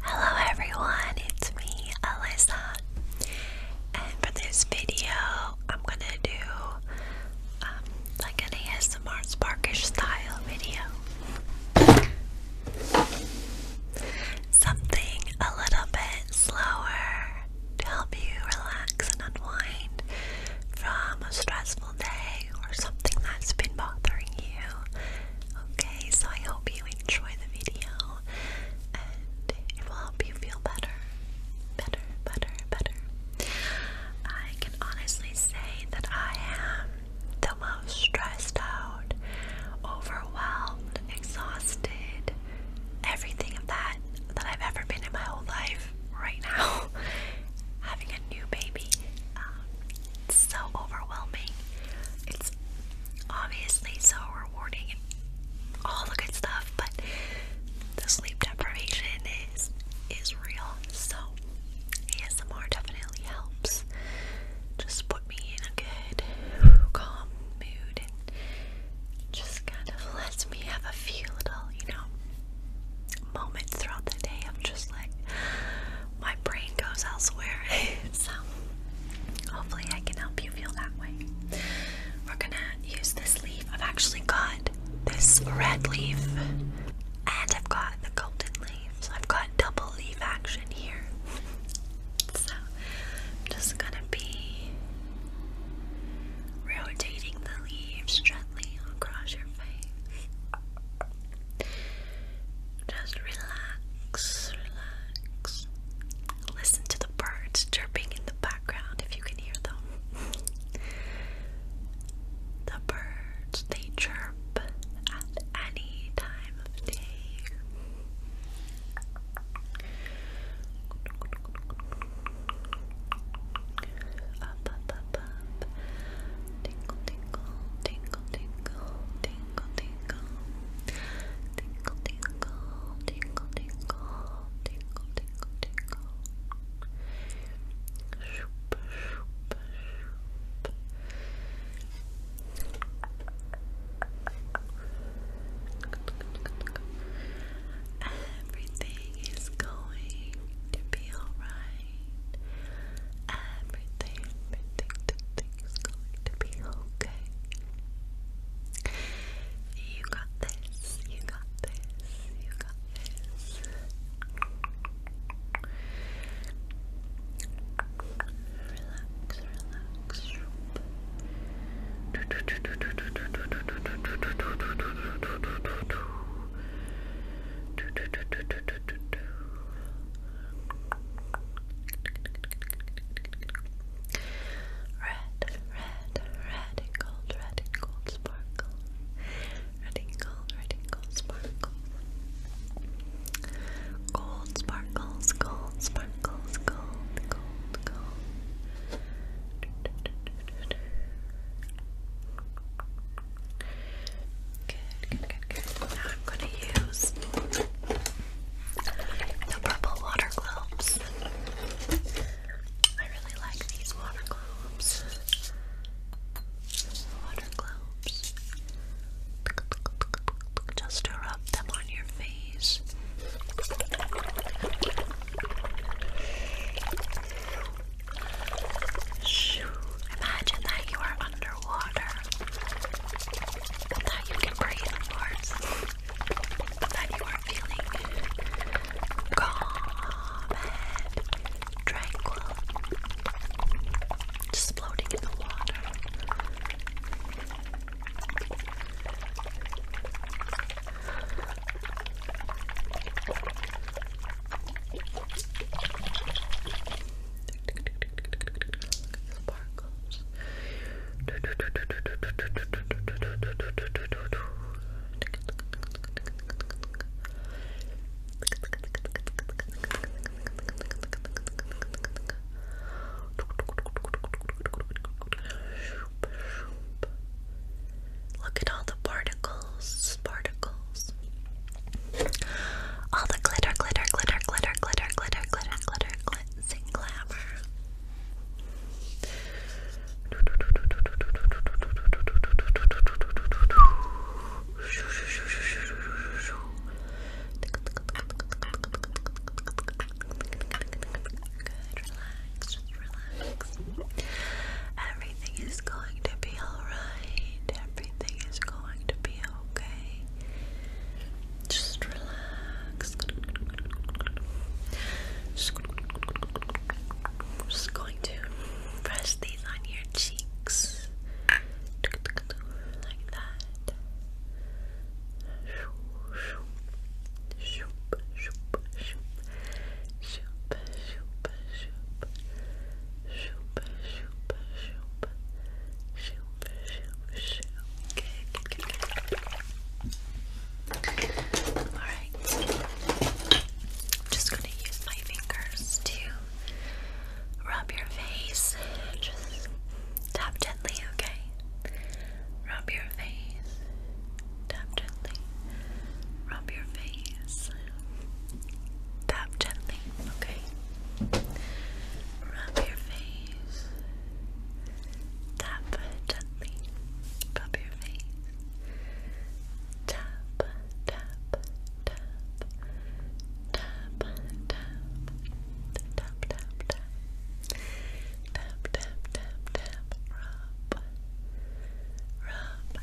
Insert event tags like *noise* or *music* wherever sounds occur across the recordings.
Hello everyone, it's me, Alyssa, and for this video, I'm gonna do um, like an ASMR Sparkish style video. Something a little bit slower to help you relax and unwind from a stressful or something that's been bothering you. Okay, so I hope you enjoy the video and it will help you feel better. Better, better, better. I can honestly say that I am the most stressed out, overwhelmed, exhausted, everything of that that I've ever been in my whole life right now. *laughs* Having a new baby, um, it's so overwhelming. It's obviously so rewarding and all the good stuff, but the sleep deprivation is is real. So ASMR definitely helps. Just put me in a good calm mood and just kind of lets me have a few little, you know, moments throughout the day of just like my brain goes elsewhere. *laughs* so hopefully I can help you feel that way. We're gonna use this leaf. I've actually got this red leaf and I've got the golden leaf. So I've got double leaf action here. so I'm just gonna be rotating the leaves gently across your face. Just relax, relax. Listen to the birds chirping in the background if you can hear them. *laughs* the birds, they chirp at any time of day up. Tinkle, tinkle, tinkle, tinkle, tinkle, tinkle. Tinkle, tinkle, tinkle, tinkle, tinkle, tinkle, tinkle. Shoop, shoop, Everything is going to be alright. Everything, everything, is going to be okay. You got this, you got this, you got this. relax, relax. Red, red, red and gold, red and gold sparkle. Red and gold, red and gold sparkle. Gold sparkles, gold sparkles, gold, gold, gold. I'm going to use the purple water globes. I really like these water globes. Water globes. Just to rub them on your face. Shoo. Imagine that you are underwater. That you can breathe, of That you are feeling calm and tranquil. Just floating in the water. Look at all the particles particles, All the glitter, glitter, glitter, glitter, glitter, glitter, glitter, glitter, glitz and glamour. relax relax. Everything is going to be alright. Everything is going to be okay. Just relax. Just, just going to press these on your cheeks. Like that. Shoop, shoop, shoop. Shoop, shoop, shoop. Shoop, shoop, shoop. Okay, good, good, good. Alright. I'm just gonna use my fingers to rub your face. Just tap gently, okay? Rub your face. Tap gently. Rub your face. Tap gently, okay? Rub your face. Tap gently. Rub your face. Tap, tap, tap. Tap, tap. Tap, tap, tap. Tap, tap, tap, tap. Rub. Rub.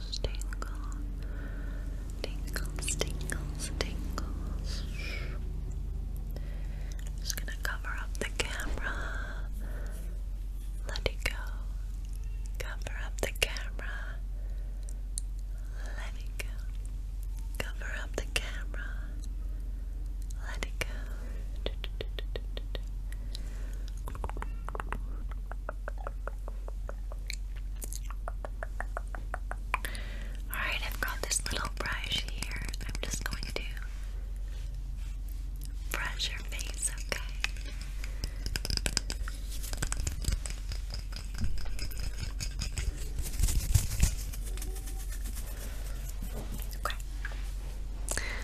gosh, tingle, tingles, tingles, tingles. I'm just gonna cover up the camera. Let it go. Cover up the camera. Let it go. Cover up the camera. Let it go. Alright, I've got this little brush here. I'm just going to brush your face, okay? Okay.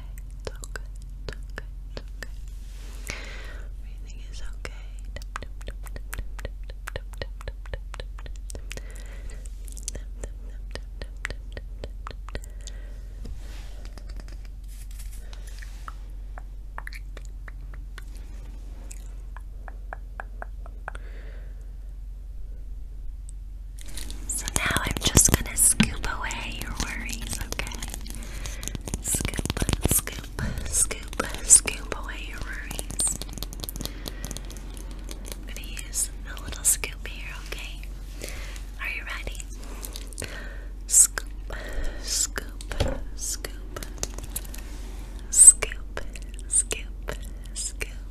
okay. It's all good. It's okay. It's okay. Everything is okay. So now I'm just gonna scoop away your worries, okay? Scoop, scoop, scoop, scoop away your worries. gonna use a little scoop here, okay? Are you ready? Scoop, scoop, scoop, scoop, scoop, scoop.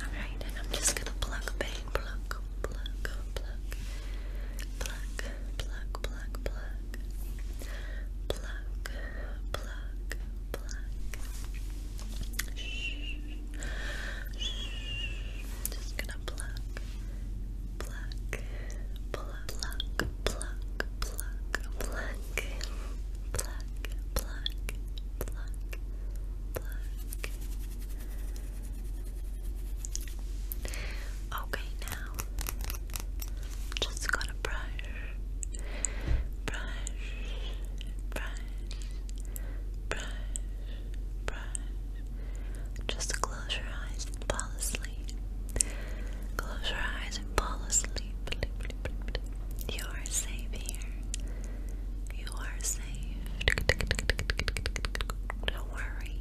Alright, and I'm just gonna pluck, bang, pluck, pluck, pluck, pluck, pluck, pluck, pluck, pluck, pluck, Shh. Just gonna pluck pluck, pluck, pluck, pluck, pluck, pluck, pluck, pluck, pluck, Okay, now just gotta brush, brush, brush, brush, just close your eyes and fall asleep. Close your eyes and fall asleep. You are safe here. You are safe. Don't worry.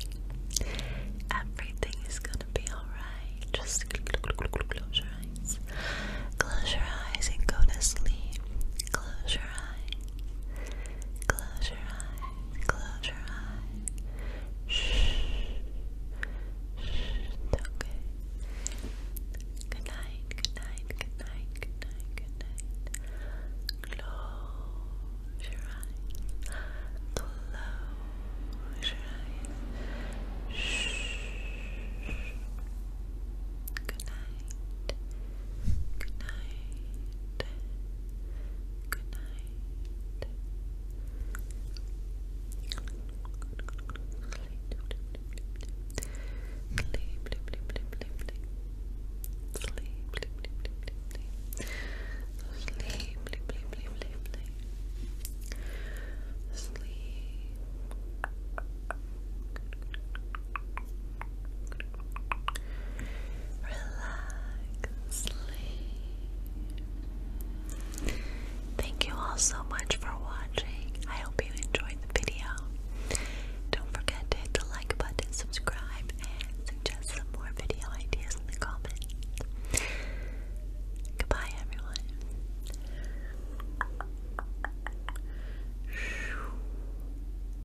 Everything is gonna be alright. Just close your eyes. Close your eyes and go to sleep. Close your eyes. Close your eyes close your eyes. Shh. Shh. It's okay. Good night, good night, good night, good night, good night. Close your eyes. Close your eyes. Shh. Good night. Good night. Good night. sleep, sleep, sleep, sleep, sleep, sleep, sleep, sleep, sleep, sleep, sleep, sleep, sleep Relax. Thank you all so much for watching. I hope you enjoyed the video. Don't forget to hit the like button, subscribe, and suggest some more video ideas in the comments. Goodbye, everyone.